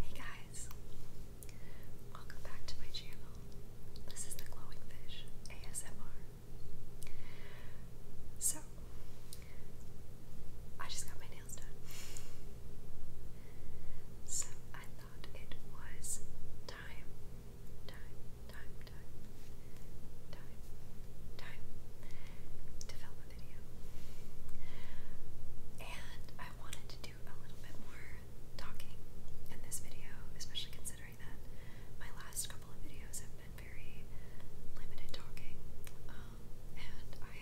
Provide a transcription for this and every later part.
Hey guys, welcome back to my channel. This is the Glowing Fish ASMR. So, I just got my nails done. So, I thought it was time, time, time, time, time, time to film on And I wanted to do a little bit more talking in this video, especially considering that my last couple of videos have been very limited talking. Um, and I,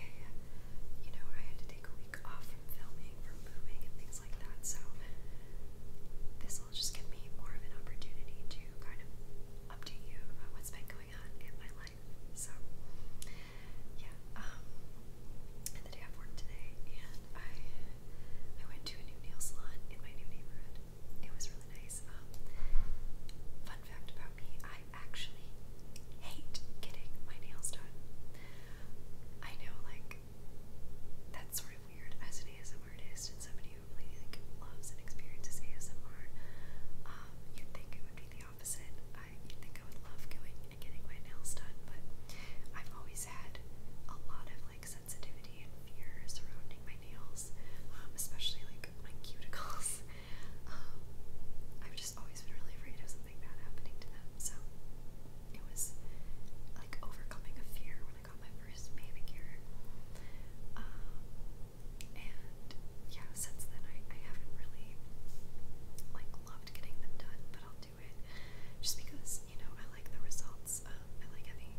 you know, I had to take a week off from filming, from moving, and things like that. So this will just give me more of an opportunity to kind of update you about what's been going on in my life. So, yeah, um, the day i worked today, and I, I went to a new nail salon in my new neighborhood. It was really nice. Um, fun fact about me, I actually hate getting my nails done. I know, like, that's sort of weird as an ASM artist and somebody who really like loves and experiences ASMR. Um, you'd think the opposite. I think I would love going and getting my nails done, but I've always had a lot of like sensitivity and fear surrounding my nails, um, especially like my cuticles. Um, I've just always been really afraid of something bad happening to them, so it was like overcoming a fear when I got my first manicure. Um, and yeah, since then I, I haven't really like loved getting them done, but I'll do it just because, you know, I like the results. Um, I like having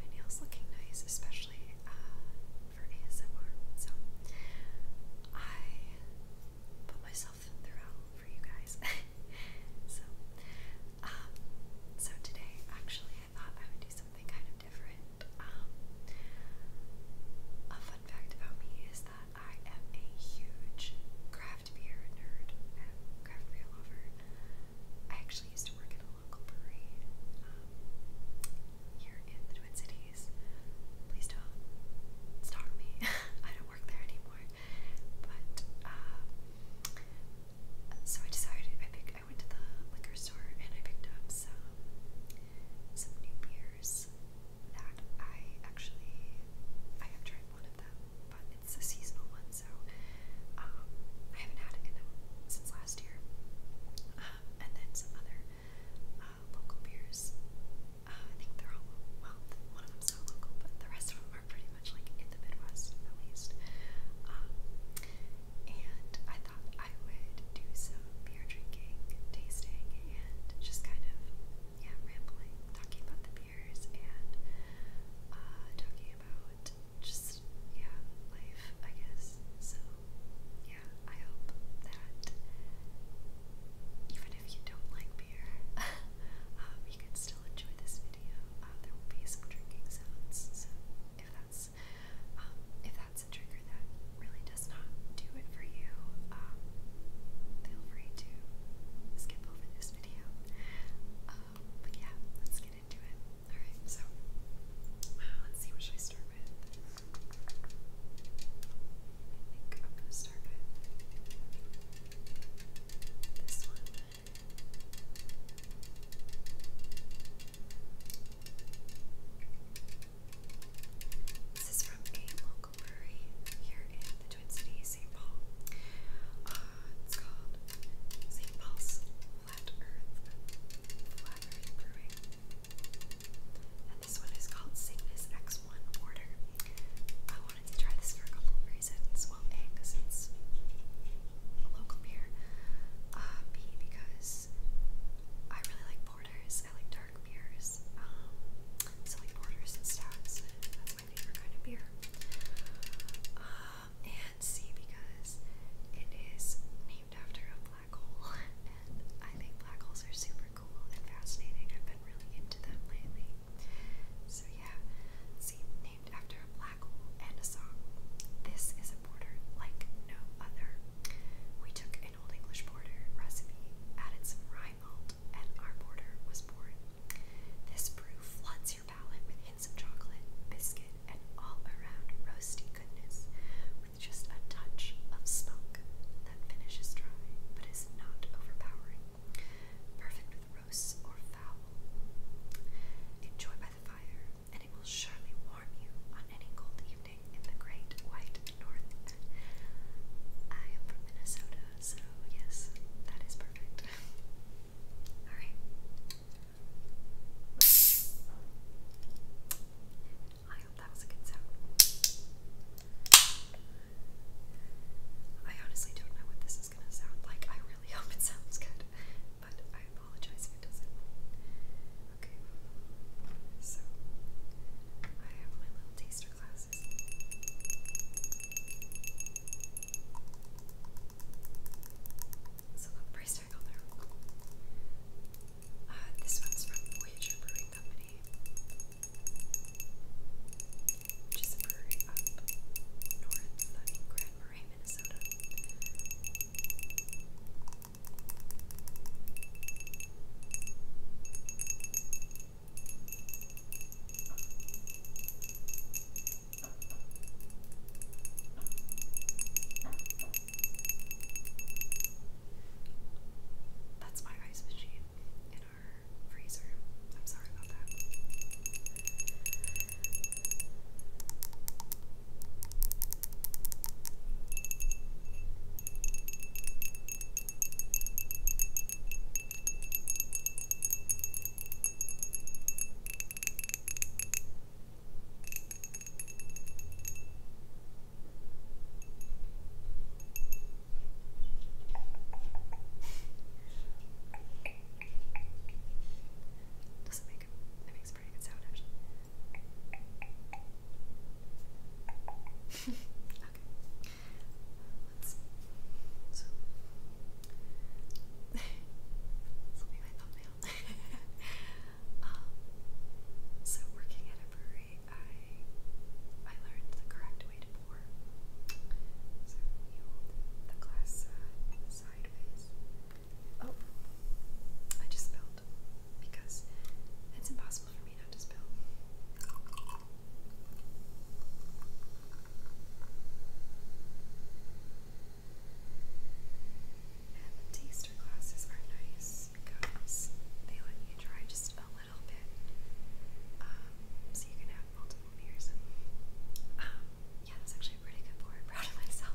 my nails looking nice, especially uh, for ASMR. So I put myself throughout for you guys. so um so today actually I thought I would do something something kind of different. Um, a fun fact about me is that I am a huge craft beer nerd and craft beer lover. I actually used to work at a local brewery um, here in the Twin Cities. Please don't stalk me. I don't work there anymore. But uh, so I decided I picked. I went to the liquor store and I picked up some some new beers that I actually I have tried one of them, but it's a seasonal one, so um, I haven't had it in a, since last year. Um, and then some other uh, local beers. Uh, I think they're all well. One of them's not local, but the rest of them are pretty much like in the Midwest, at least. Um, and I thought I would do some beer drinking, tasting, and just kind of, yeah, rambling, talking about the beers and uh, talking about just, yeah, life, I guess. So, yeah, I hope that even if you don't like beer, um, you can still enjoy this video. Uh, there will be some drinking sounds, so if that's because um, if that's a trigger that really does not do it for you, um, feel free to skip over this video. Um, but yeah, let's get into it. Alright, so let's see what should I start with. I think I'm gonna start with this one. This is from a local brewery here in the Twin Cities, St. Paul. Uh, it's called St. Paul's Flat Earth Flat Earth Brewing. And this one is called Cygnus X1 Porter. I wanted to try this for a couple of reasons. Well, A, because it's a local beer. Uh, B, because I really like porter borders. I like dark beers. Um, so like borders and stouts. That's my favorite kind of beer. Um, and C because it is named after a black hole, and I think black holes are super cool and fascinating. I've been really into them lately. So yeah, C named after a black hole and a song. This is a border like no other. We took a an Old English porter recipe, added some rye malt, and our porter was born. This brew floods your palate with hints of chocolate, biscuit, and all-around roasty goodness, with just a touch of smoke that finishes dry but is not overpowering. Perfect with roasts or fowl. Enjoy by the fire, and it will surely warm you on any cold evening in the great white north. I am from Minnesota, so yes, that is perfect. Alright. I hope that was a good sound. I honestly don't know what this is gonna sound like. I really hope it sounds good, but I apologize if it doesn't. Okay. So I have my little taster glasses. So the price tag on there. Uh, this one's from Voyager Brewing Company. Which is a brewery up north Grand Marais, Minnesota. That's my ice machine in our freezer. I'm sorry about that. Doesn't make it, it makes a Let's. So. this will my thumbnail. so, working at a brewery, I. I learned the correct way to pour. So you hold the glass uh, sideways. Oh, I just spilled because it's impossible impossible And the taster glasses are nice because they let you try just a little bit, um, so you can have multiple beers. Um, yeah, that's actually pretty good pour. proud of myself.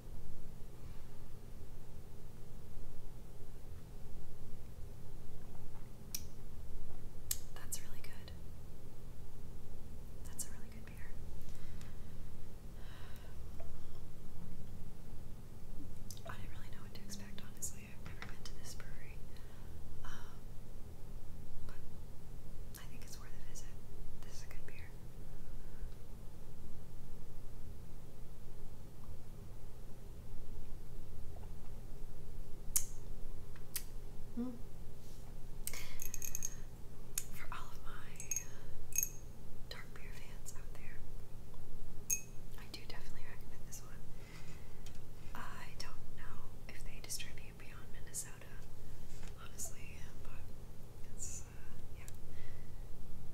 That's really good. That's a really good beer. I didn't really know what to expect, honestly. I've never been to this brewery. Um, but I think it's worth a visit. This is a good beer here. Hmm. For all of my dark beer fans out there, I do definitely recommend this one. I don't know if they distribute beyond Minnesota, honestly, but it's Cygnus. Yeah.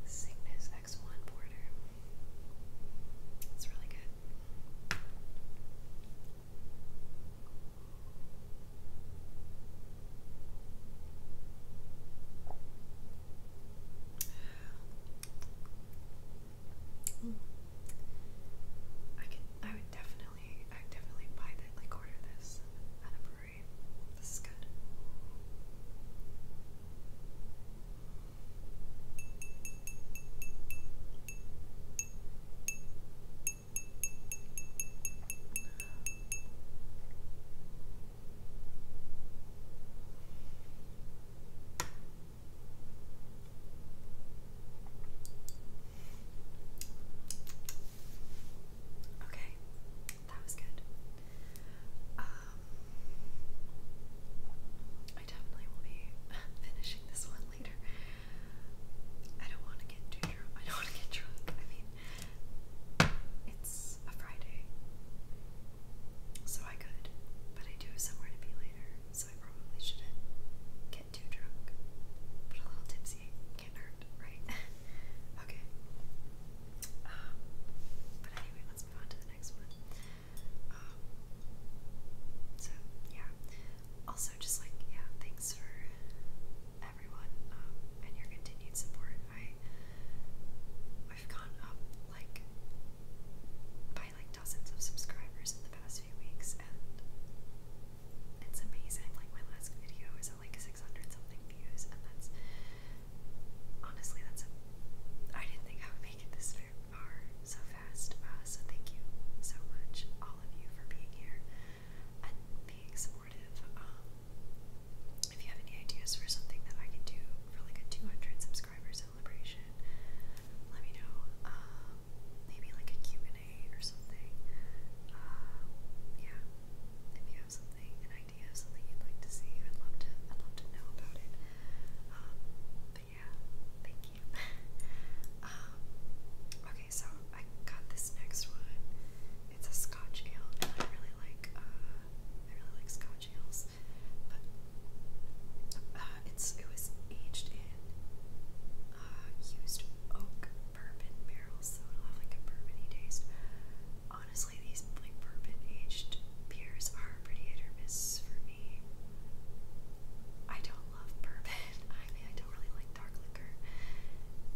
Cygnus X1 border. It's really good. Mm. I could I would definitely I would definitely buy that like order this at a brewery agree. This is good. Okay. That was good. Um, I definitely will be finishing this one later. I don't want to get too drunk. I don't want to get drunk. I mean, it's a Friday, so I could, but I do have somewhere to be later, so I probably shouldn't get too drunk. But a little tipsy can't hurt, right? okay. Um, but anyway, let's move on to the next one. Um, so yeah. Also, just like yeah, thanks for everyone um, and your continued support. I've gone up like by like dozens of subscribers in the past few weeks, and it's amazing. Like my last video is like 600 something views, and that's honestly that's a I didn't think I would make it this far so fast. Uh, so thank you so much, all of you, for being here and being supportive. Um, if you have any ideas for something that I can do for like a 200 subscriber celebration, let me know. Um, maybe like a and a or something. Uh, yeah, you something, an idea of something you'd like to see, I'd love to, I'd love to know about it. Um, but yeah, thank you. Um, okay, so I got this next one. It's a Scotch ale, and I really like, uh, I really like Scotch ales, but uh, it's it was aged in uh, used oak bourbon barrels, so it'll have like a bourbony taste honestly, these like bourbon aged beers are pretty hit or for me. I don't love bourbon. I mean, I don't really like dark liquor.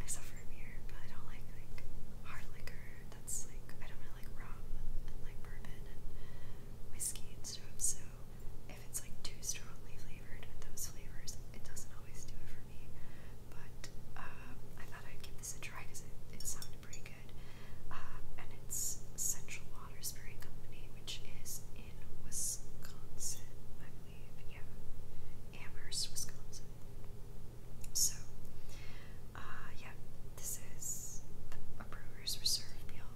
I suffer a beer, but I don't like like hard liquor. That's like I don't really like rum and like bourbon and whiskey and stuff. So if it's like too strongly flavored with those flavors, it doesn't always do it for me. But uh, I thought I'd give this a try because it, it sounds sounded pretty good. Uh, and it's Central Watersbury Company, which is in Wisconsin, I believe. Yeah, Amherst, Wisconsin. So, uh, yeah, this is a brewer's reserve meal.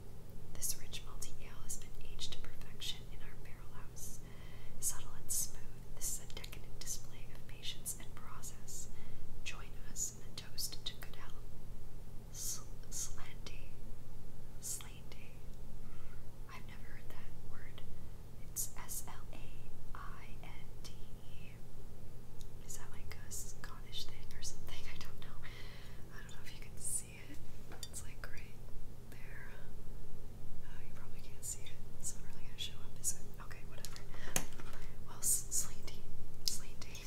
This rich multi ale has been aged to perfection in our barrel house. Subtle and smooth, this is a decadent display of patience and process, join us in a toast to good health. slanty, slanty. I've never heard that word. It's S L A I N D E. Is that like a Scottish thing or something? I don't know. I don't know if you can see it. It's like right there. Uh, you probably can't see it. It's not really gonna show up, is it? Okay, whatever. Well, Slanty. Slanty.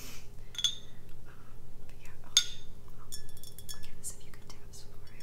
Um, but yeah, oh, I'll, give this a few good taps before I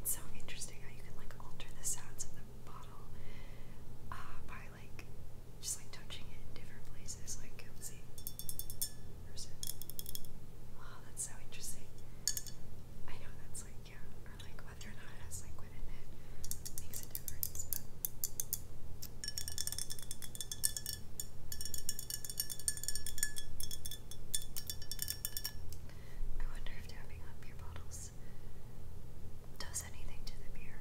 It's so interesting how you can like alter the sounds of the bottle uh, by like just like touching it different places. Like let's see, Wow, that's so interesting. I know that's like yeah, or like whether or not it has liquid in it makes a difference. But I wonder if tapping on beer bottles does anything to the beer.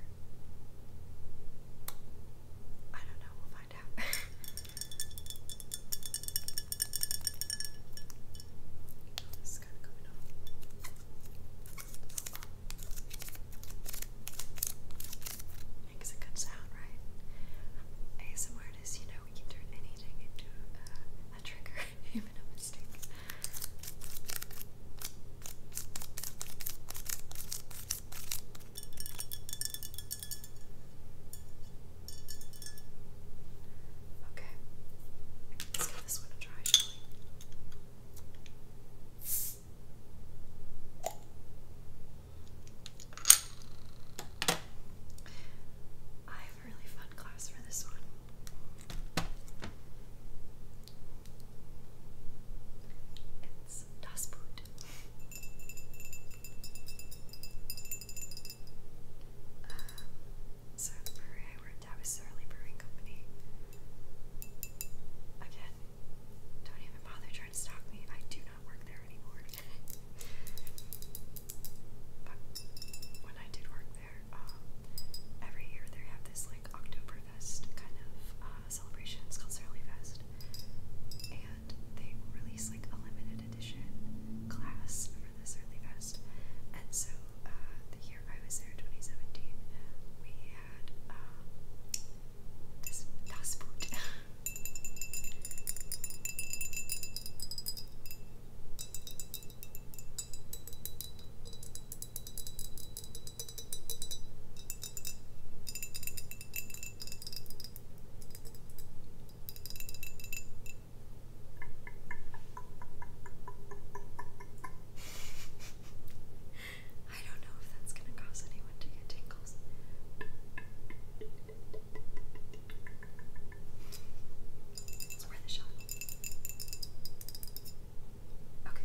I don't know, we'll find out. This is kind of coming off. Makes a good sound, right? ASMR is, you know, we can turn anything into uh, a trigger, even a mistake. Okay. Okay. Let's give this one a try, I have a really fun class for this one. It's Das Boot. Um, so the I worked at was Surly Brewing Company. Again, don't even bother trying to stalk me. I do not work there anymore. when I did work there, um, every year they have this like Oktoberfest kind of uh, celebration. It's called Surly Fest. And they release like a limited class for this early fest. And so uh, the year I was there, 2017, we had um, this I don't know if that's gonna cause anyone to get tingles. It's worth a shot. Okay.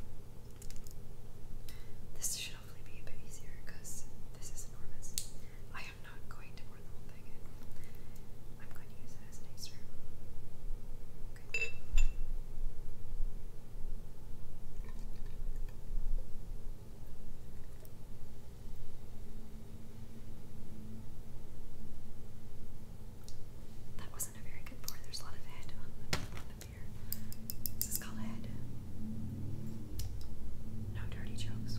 This should hopefully be a bit easier because this is enormous. I am not going going to That wasn't a very good pour. There's a lot of head on the on beer. This is called head. No dirty jokes.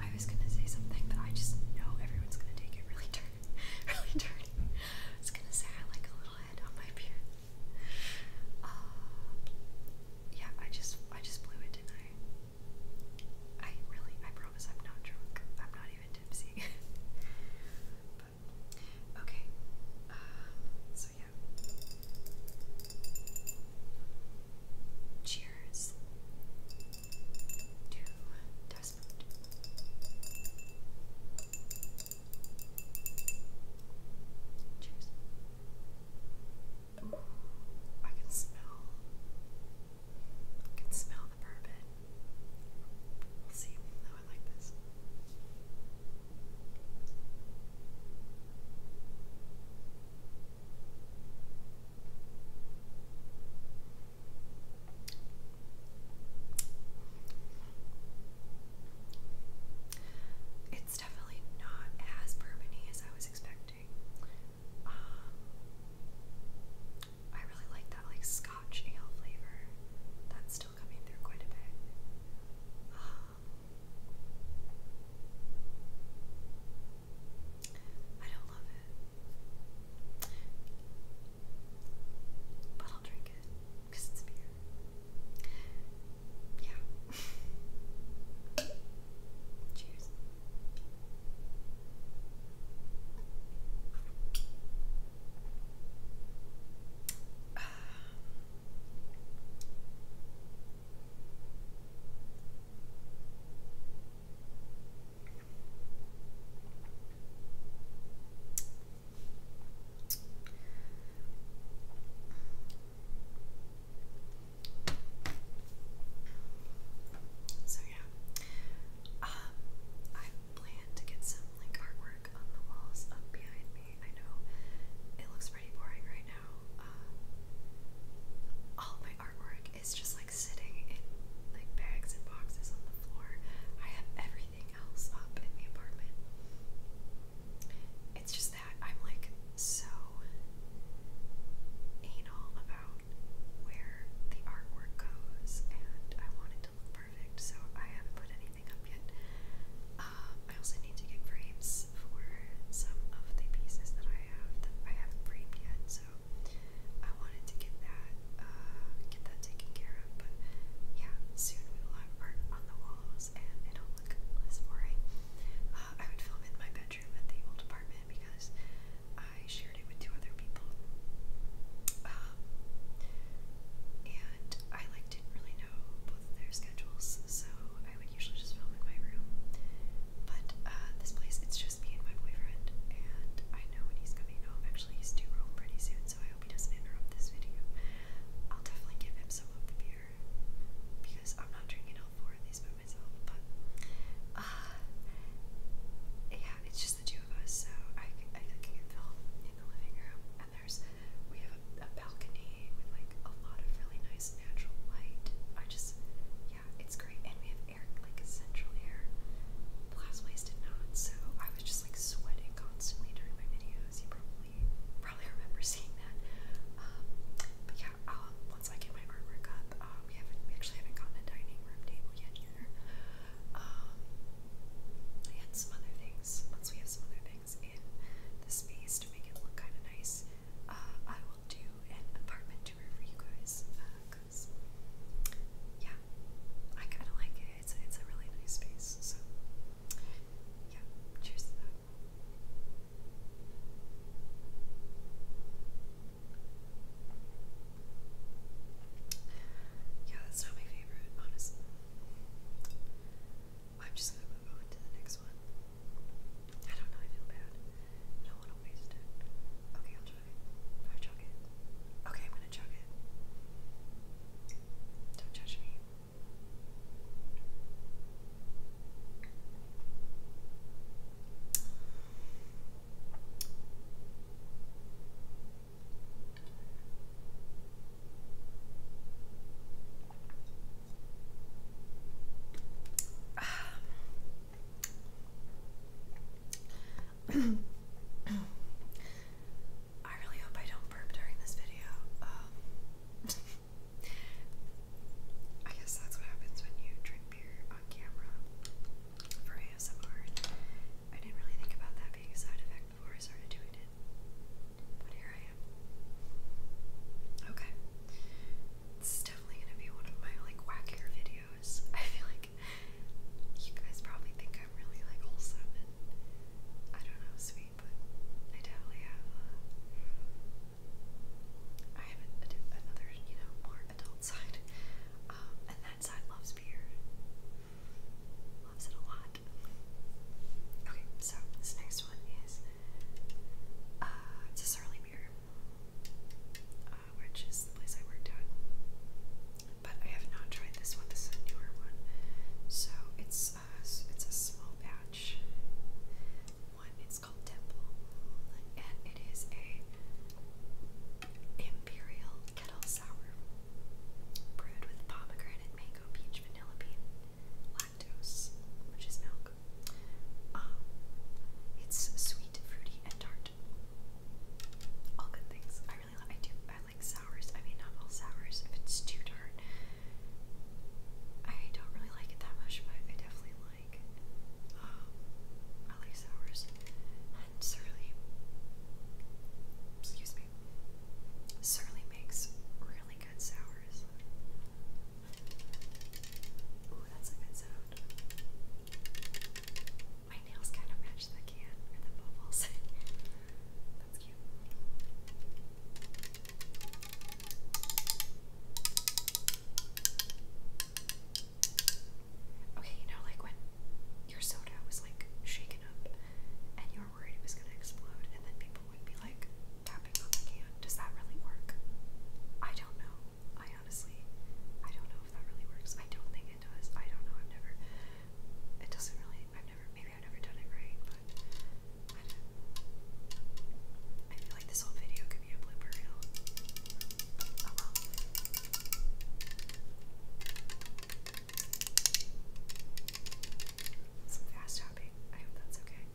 I was gonna say something, but I just know everyone's gonna take it really dirty. really dirty. I was gonna say I like a little head on my beard. Uh, yeah, I just I just blew it, didn't I? I really I promise I'm not drunk. I'm not even tipsy. okay. Um, so yeah. Cheers to dust Cheers. I can smell. I can smell the bourbon. We'll see how oh, I like this. It's definitely not as bourbony as I was expecting. Um, I really like that like Scotch ale flavor. That's still coming through quite a bit. Um, I don't love it. But I'll drink it because it's beer. Yeah. Cheers. Um, So yeah, um, I plan to get some like artwork on the walls up behind me. I know it looks pretty boring right now. Uh, all my my artwork is just like sitting in like bags and boxes on the floor. I have everything else up in the apartment. It's just that I'm like so anal about where the artwork goes and I want it to look perfect, so I haven't put anything up yet. Uh, I also need to get frames for some of the pieces that I have that I haven't framed yet, so I wanted to get that uh, get that taken care of. But yeah, soon we will have art on the walls, and it'll look less boring. Uh, I would film in my bedroom at the old apartment because I shared it with two other people. Um, and I like didn't really know both of their schedules, so I I would usually just film in my room. But uh, this place, it's just me and my boyfriend, and I know when he's coming home. Actually, he's due home pretty soon, so I hope he doesn't interrupt this video. I'll definitely give him some of the beer because I'm not drinking all four of these by myself. But uh, yeah, it's just the two of us, so I I can film in the living room, and there's we have a balcony with like a lot of really nice natural light. I just yeah, it's great. And we have air, like central air. Plasways did not, so I was just like sweating constantly during my videos. You probably probably remember seeing that. Um, but yeah, um, once I get my artwork up, uh, we haven't actually haven't gotten a dining room table yet either. Um, and some other things. Once we have some other things in the space to make it kind of nice, uh, I will do an apartment tour for you guys because, uh, yeah, I kind of like it. It's a, it's a really nice space. So, yeah, cheers to that. Yeah, that's not my favorite, honestly. I'm just gonna move on to the next next one. I don't know, I feel bad. I don't want to waste it. Okay, I'll chug it. I chug it? Okay, I'm gonna chug it. Don't judge me. Um, I really hope I don't burp during this video. Um, I guess that's what happens when you drink beer on camera for ASMR. I didn't really think about that being a side effect before I started doing it. But here I am. Okay. This is definitely gonna be one of my like wackier videos. I feel like you guys probably think I'm really like wholesome and I don't know sweet, but I definitely have. Uh, I have another, you know, more adult side, um, and that side loves beer. Loves it a lot. Okay, so this next one is uh, to Sarlemere, uh, which is the place I worked at. But I have not tried this one. This is a newer one, so it's uh, it's a small batch one. It's called Temple, and it is a imperial kettle sour brewed with pomegranate, mango, peach, vanilla bean, lactose, which is milk, milk. Um, it's sweet, fruity, and tart. All good things. I really I do. I like sours. I mean, not all sours. If it's too tart, I don't really like it that much. But I definitely like. Um, sours and surly. Excuse me. Surly makes really good sours. Ooh, that's a good sound. My nails kind of match the can or the bubbles. that's cute. Okay, you know, like when your soda was like shaken up and you were worried it was gonna explode, and then people would be like tapping on the can. Does that really work? I don't know. I honestly, I don't know if that really works. I don't think it does. I don't know. I've never. It doesn't really. I've never. Maybe I've never done it right, but I feel like this whole video could be a blooper reel. Some fast tapping. I hope that's okay.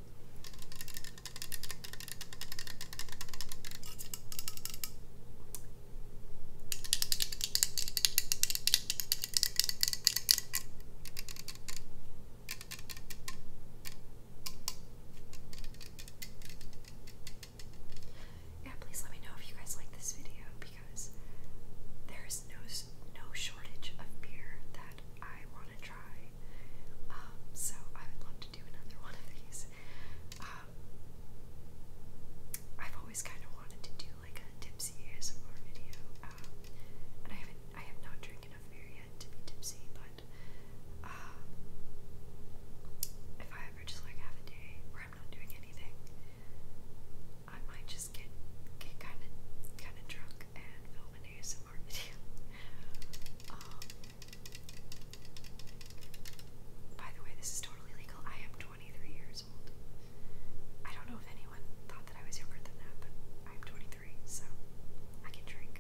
Yeah, please let me know if you guys like this video because there is no no shortage of beer that I want to try. Um, so I would love do another one of these. Um, I've always kind of wanted to do like a tipsy ASMR video, um, and I haven't, I have not drank enough beer yet to be tipsy, but um, if I ever just like have a day where I'm not doing anything, I might just get get kind of kind of drunk and film an ASMR video. By the way, this is totally legal. I am 23 years old. I don't know if anyone thought that I was younger than that, but I'm 23, so I can drink.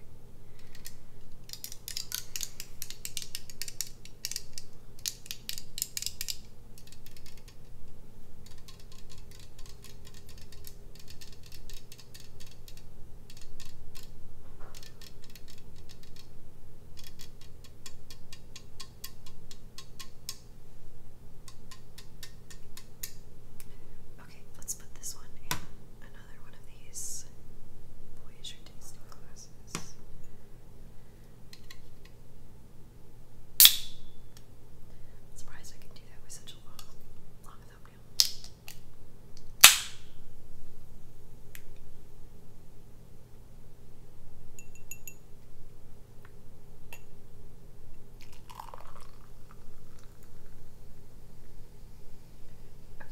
Okay, let's put this one in another one of these Voyager tasting glasses. I'm surprised I can do that with such a long, long thumbnail. Okay,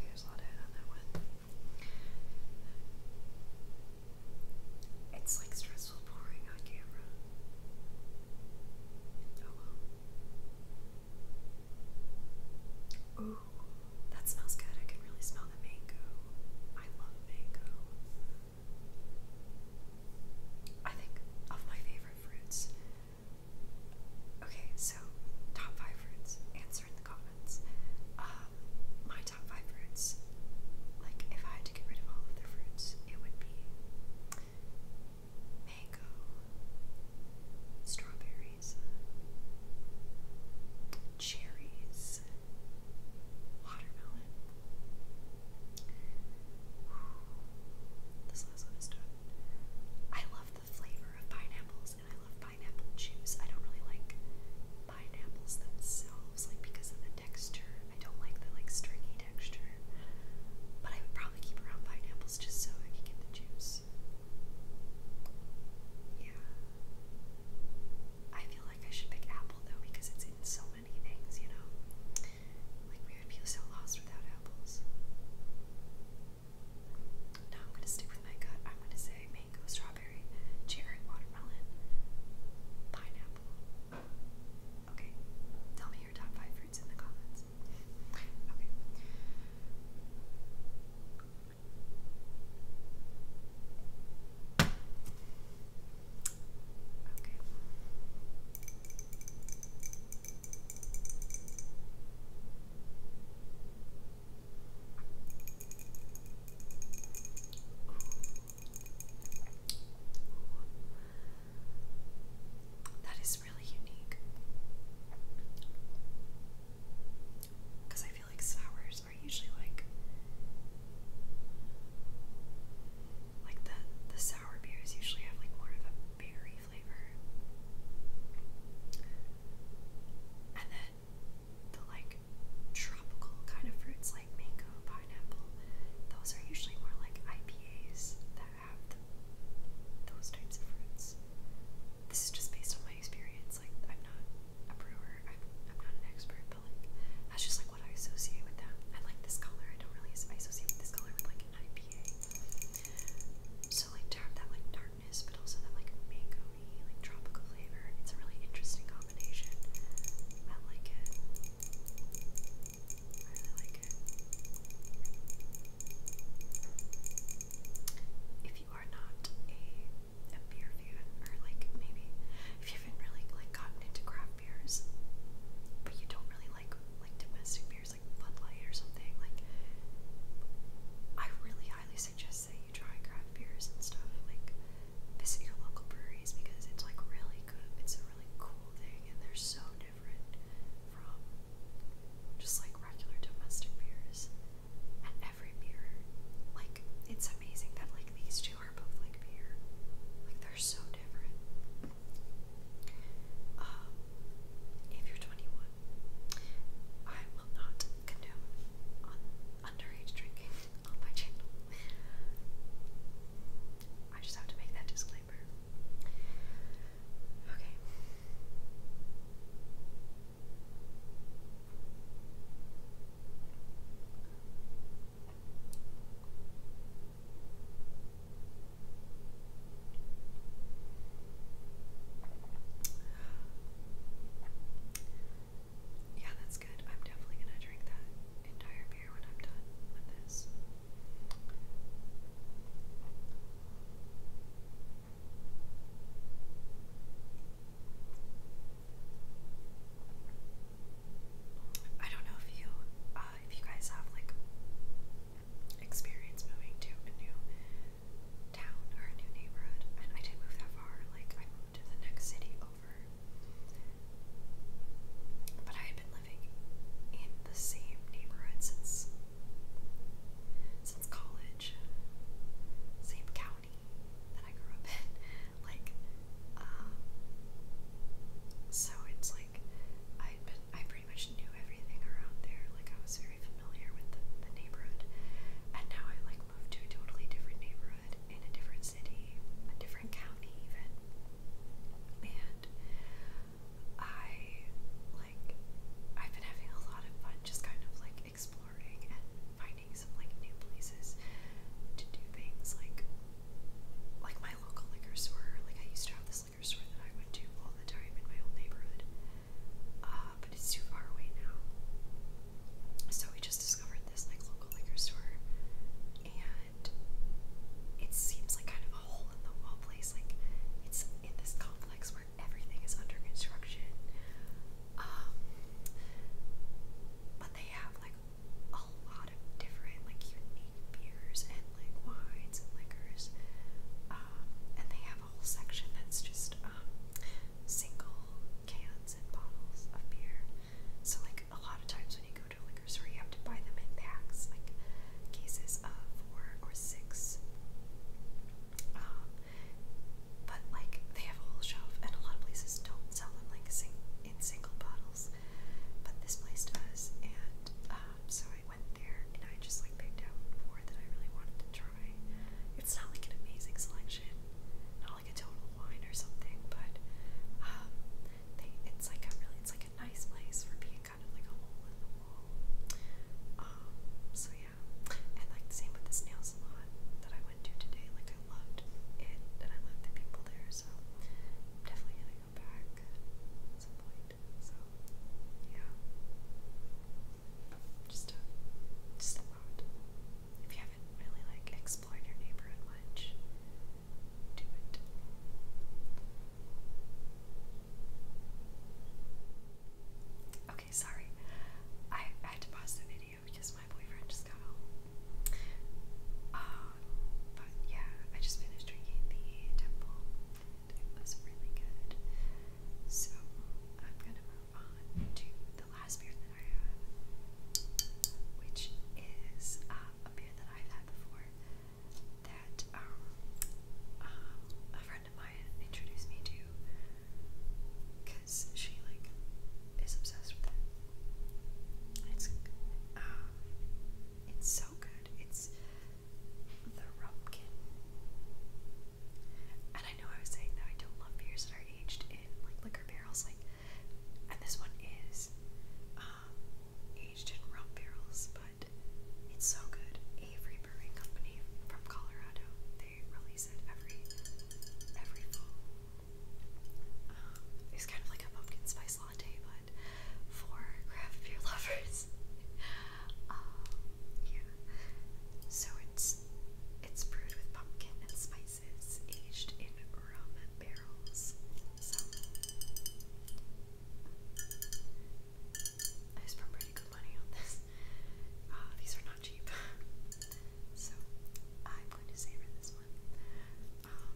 there's a lot of head on that one. It's like stressful pouring on camera. Oh well. Ooh, that smells good. I can really smell the mango. I love mango. I think of my favorite fruits. Okay, so top five fruits. Answer in the comments. Um, my top five fruits. Like, if I had to get rid of all of the fruits, it would be mango, strawberry berries, cherries, watermelon. This last one is done. I love the flavor of pineapples and I love pineapple juice. I don't really like pineapples themselves, like because of the texture. I don't like the like stringy texture. But I would probably keep around pineapples just so I could get the juice because yeah I feel like I should pick apple though because it's in so many things you know like we would feel so lost without apples now I'm gonna stick with my gut I'm gonna say mango strawberry cherry watermelon pineapple okay tell me your top five fruits in the comments okay Okay. Ooh. That is really unique. Because I feel like sours are usually like like the the sour beers usually have like more of a berry flavor. And then the like tropical kind of fruits like mango, pineapple, those are usually more like IPAs that have the, those types of fruits this is just based on my experience. Like, I'm not a brewer, I'm, I'm not an expert, but like, that's just like what I associate with them. I like this color, I don't really I associate this color with like an IPA. So, like, to have that like darkness, but also that like mango like tropical flavor, it's a really interesting combination. I like it. I really like it if you are not a a beer fan or like maybe if you haven't really like gotten into craft beers but you don't really like like domestic beers like Bud Light or something like I really highly suggest that you try craft beers and stuff like visit your local breweries because it's like really good it's a really cool thing and they're so different from just like regular domestic beers at every beer. Like, it's amazing that, like, these two are both like beer. Like, they're so different. Um, if you're 21, I will not condone underage drinking on my channel. I just have to make that disclaimer. Okay. Yeah, that's good. I'm definitely going to drink that entire beer when I'm done with this. I don't know if you uh, if you guys have like experience moving to a new town or a new neighborhood, and I didn't move that far. Like I moved to the next city over, but I had been living in the same neighborhood since since college village, same county that I grew up in. Like, um, so it's like I been I pretty much knew everything around there. Like I was very familiar with the, the neighborhood, and now I like moved to a totally different neighborhood in a different city, a different county even. And I like I've been having a lot of fun just kind of like exploring and finding some like new places to do things like like my local liquor store. Like I used to have this liquor store that I went to all the time in my old neighborhood. Uh, but it's too far away now. So we just discovered this like local liquor store and it seems like kind of a hole in the wall place. Like it's in this complex where everything is under construction. Um, but they have like a lot of different, like unique beers and like wines and liquors. Um, and they have a whole section that's just um, single cans and bottles of beer. So like a lot of times when you go to a liquor store, you have to buy them in packs, like cases of four or six. Um, but like they have a whole shelf, and a lot of places don't sell them like sing in single bottles. But this place does, and um, so I went there and I just like picked out four that I really wanted to try. It's not like an amazing selection, not like a total wine or something, but um, they it's like a really it's like a nice place for being kind of like a hole in the wall. Um, so yeah yeah. And like the same with this nail salon that I went to today. Like I loved it and I loved the people there, so I'm definitely gonna go back at some point. So yeah. Just a just a lot. If you haven't really like explored your neighborhood much, do it. Okay, sorry. I, had to pause the video because my boyfriend just got home. Um, but yeah, I just finished drinking the temple. It was really good. So I'm gonna move on to the last beer that I have, which is uh, a beer that I've had before that um, um, friend introduced me to because she like is obsessed with it. It's um it's so good. It's the Rumpkin. And I know I was saying that I don't love beers that are aged in like liquor barrels, like and this one is um aged in rum barrels, but it's so good. Avery Brewing Company from Colorado. They release it every every fall. Um, it's kind of like a pumpkin spice latte, but for craft beer lovers. Um, yeah. So it's it's brewed with pumpkin and spices, aged in rum barrels. So I spent pretty good money on this. Uh, these are not cheap. so I'm going to savor this one. Um,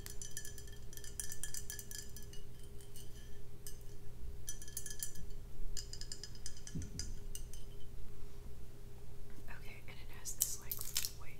Okay, and it has this like foil. Wait,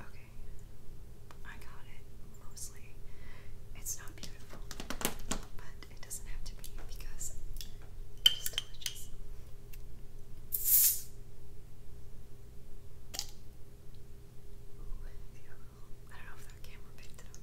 Okay, I got it mostly. It's not beautiful, but it doesn't have to be because it is delicious. I don't know if that camera picked it up.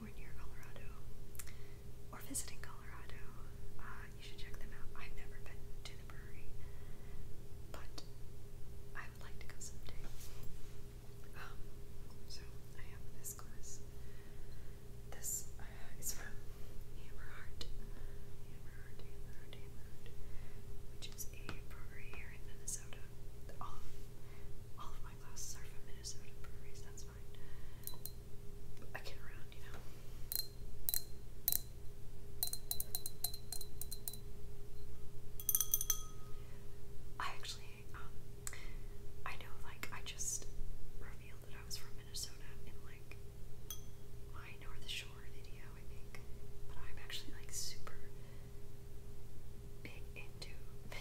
anywhere near Colorado or visiting Colorado, uh, you should check them out. I've never been to the brewery, but I would like to go someday. Um, so I have this glass. This uh, is from Hammerheart, Hammerheart, Hammerheart, Hammerheart, which is a brewery here in Minnesota. All of, my glasses are from Minnesota breweries. That's that's I get around, you know. I actually, um, I know, like, I just revealed that I was from Minnesota in, like, my North Shore video, I think. But I'm actually, like, super big into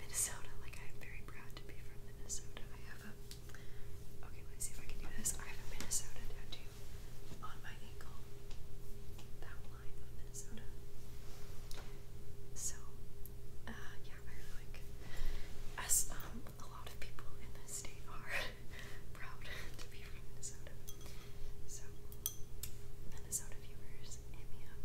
Minnesota. Like, I'm very proud to be from Minnesota. I have a Okay, let's see if I can do this. I have a Minnesota tattoo on my ankle. That line of Minnesota. So, uh, yeah, I really like as um a lot of people in this state are proud to be from Minnesota. So Minnesota viewers, hit me up.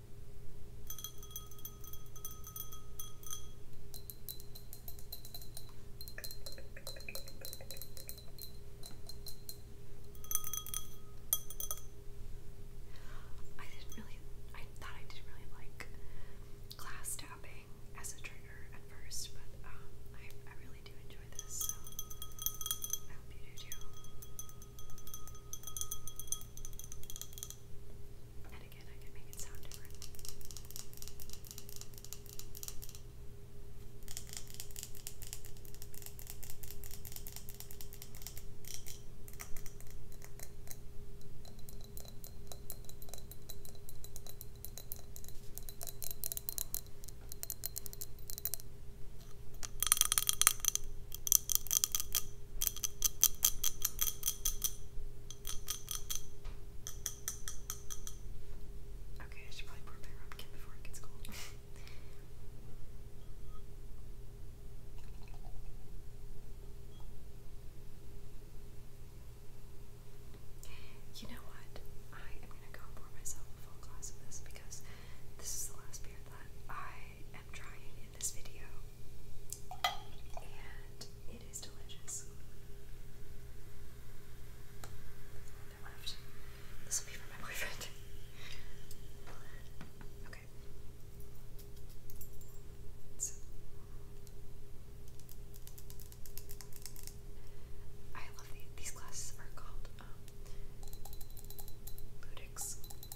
I didn't really, I thought I didn't really like glass tapping as a trigger at first, but um, I, I really do enjoy this, so I hope you do too. And again, I can make it sound different. Okay, I should probably put my pumpkin before it gets cold. you know what? I am gonna go and pour myself a full glass of this because this is the last beer that I am trying this video, and it is delicious. This will be for my boyfriend. okay. I love these. glasses are called um, and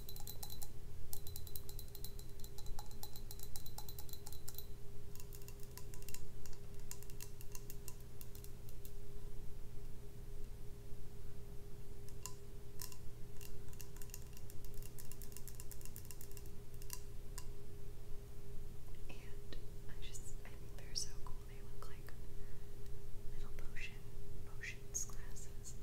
I just, I think they're so cool. They look like little potion, potion options classes.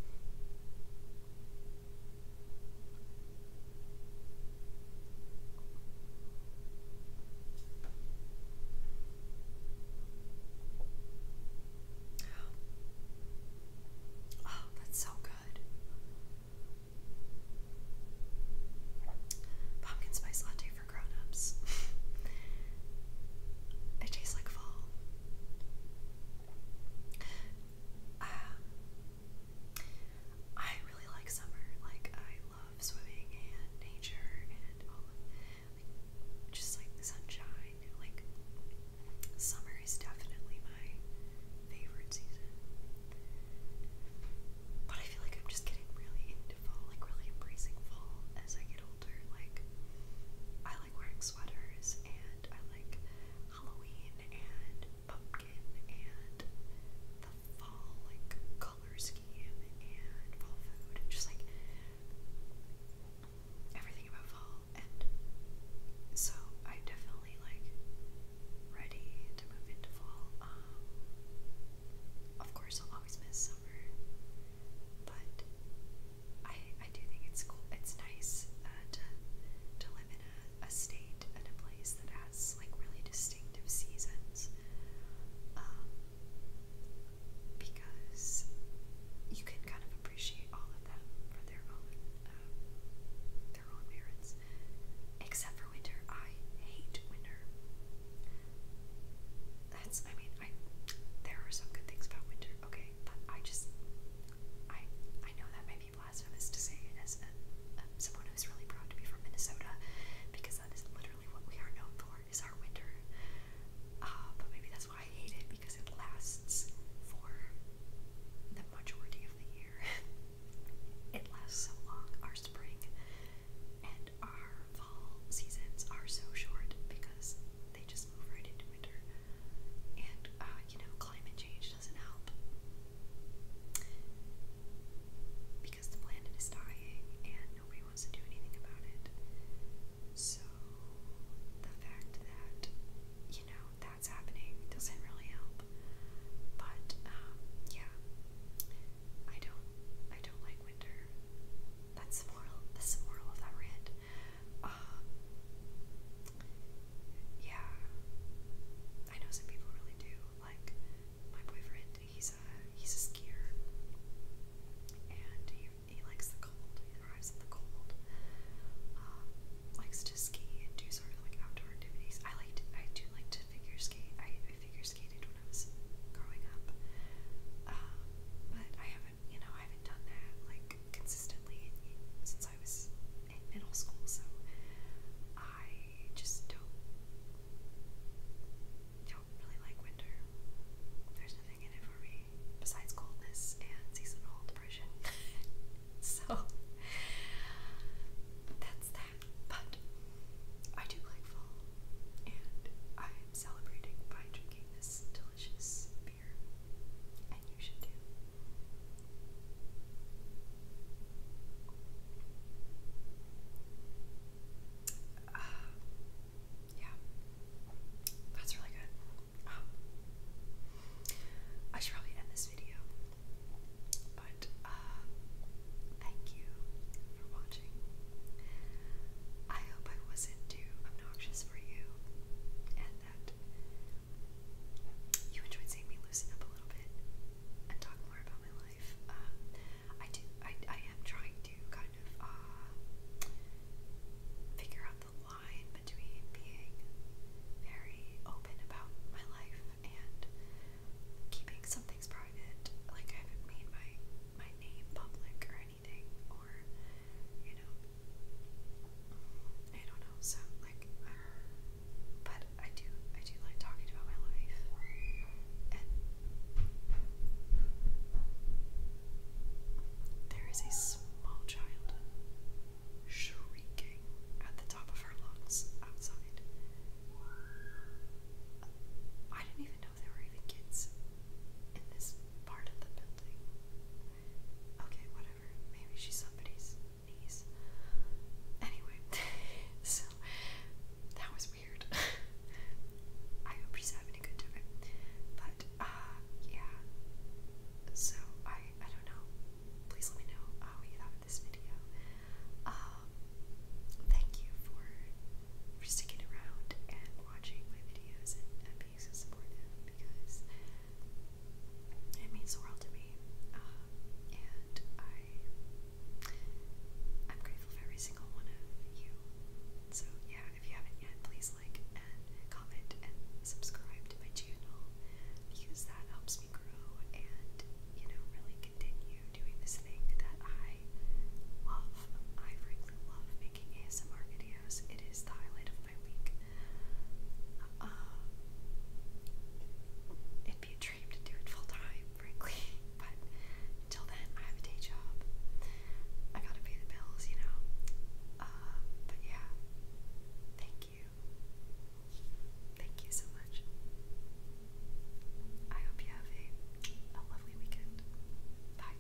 Oh, oh that's so good. Pumpkin spice latte for grown-ups. it tastes like fall. Um, I really like summer. Like I love swimming and nature and all of like just like sunshine. Like summer is definitely my favorite season. But I feel like I'm just getting really into fall, like really embracing fall as I get older. Like I like wearing sweaters, and I like Halloween and pumpkin and the fall like color scheme and fall food, just like everything about fall. And so i definitely like ready to move into fall. Um, of course, I'll always miss summer, but I I do think it's cool. It's nice uh, to to live in a, a state and a place that has like really distinctive seasons. Um, because you can kind of appreciate all of them for their own um, their own merits, except for winter. I hate winter. That's I mean I there are some good things about winter, okay, but I just, I, I know that might be blasphemous to say it as a, a, someone who's really proud to be from Minnesota, because that is literally what we are known for, is our winter, uh, but maybe that's why I hate it, because it lasts for the majority of the year. it lasts so long, our spring and our fall seasons are so short, because they just move right into winter. And, uh, you know, climate change doesn't help. Because the planet is dying and nobody wants to do anything about it. So, the fact that, you know, that's happening doesn't really help. But, um, yeah. I don't, I don't like winter. That's the moral, the moral of that rant. Um, yeah, I know some people really do. Like my boyfriend, he's a he's a skier, and he he likes the cold. He arrives in the cold. Um, likes to ski and do sort of like outdoor activities. I like to, I do like to figure skate. I, I figure skated when I was growing up, um, but I haven't you know, I haven't done that like consistently since I was in middle school, so I just don't don't really like winter. There's nothing in it for me besides coldness and seasonal depression. so that's that. But I do like fall, and I'm celebrating by drinking this delicious yeah. That's really good. I should probably end this video. But, uh, thank you for watching. I hope I wasn't too obnoxious for you that you enjoyed seeing me loosen up a little bit and talk more about my life. Um, I do. I, I am trying to kind of uh, figure out the line between being very open about my life and keeping some private. Like I haven't made my my name public or anything, or you know, I don't know, so like, but I do, I do like talking about my life, there is a small child shrieking at the top of her lungs outside. I didn't even know there were even kids in this part of the building. Okay, whatever. Maybe she's somebody's niece. Anyway, so that was weird. I hope she's having a good time. But uh, yeah. So I I don't know. Please let me know what you thought of this video. Um, thank you for for sticking around and watching my videos because it means the world to me. Um, and I, am grateful for every single one of you. So yeah, if you haven't yet, please like and comment and subscribe to my channel because that helps me grow and you know really continue doing this thing that I love. I frankly love ASMR videos. It is the highlight of my week. Um, it'd be a dream to do it full time, frankly, but until then, I have a day job. I gotta pay the bills, you know. Um, but yeah, thank you. Thank you so much. I hope you have a lovely weekend. Bye.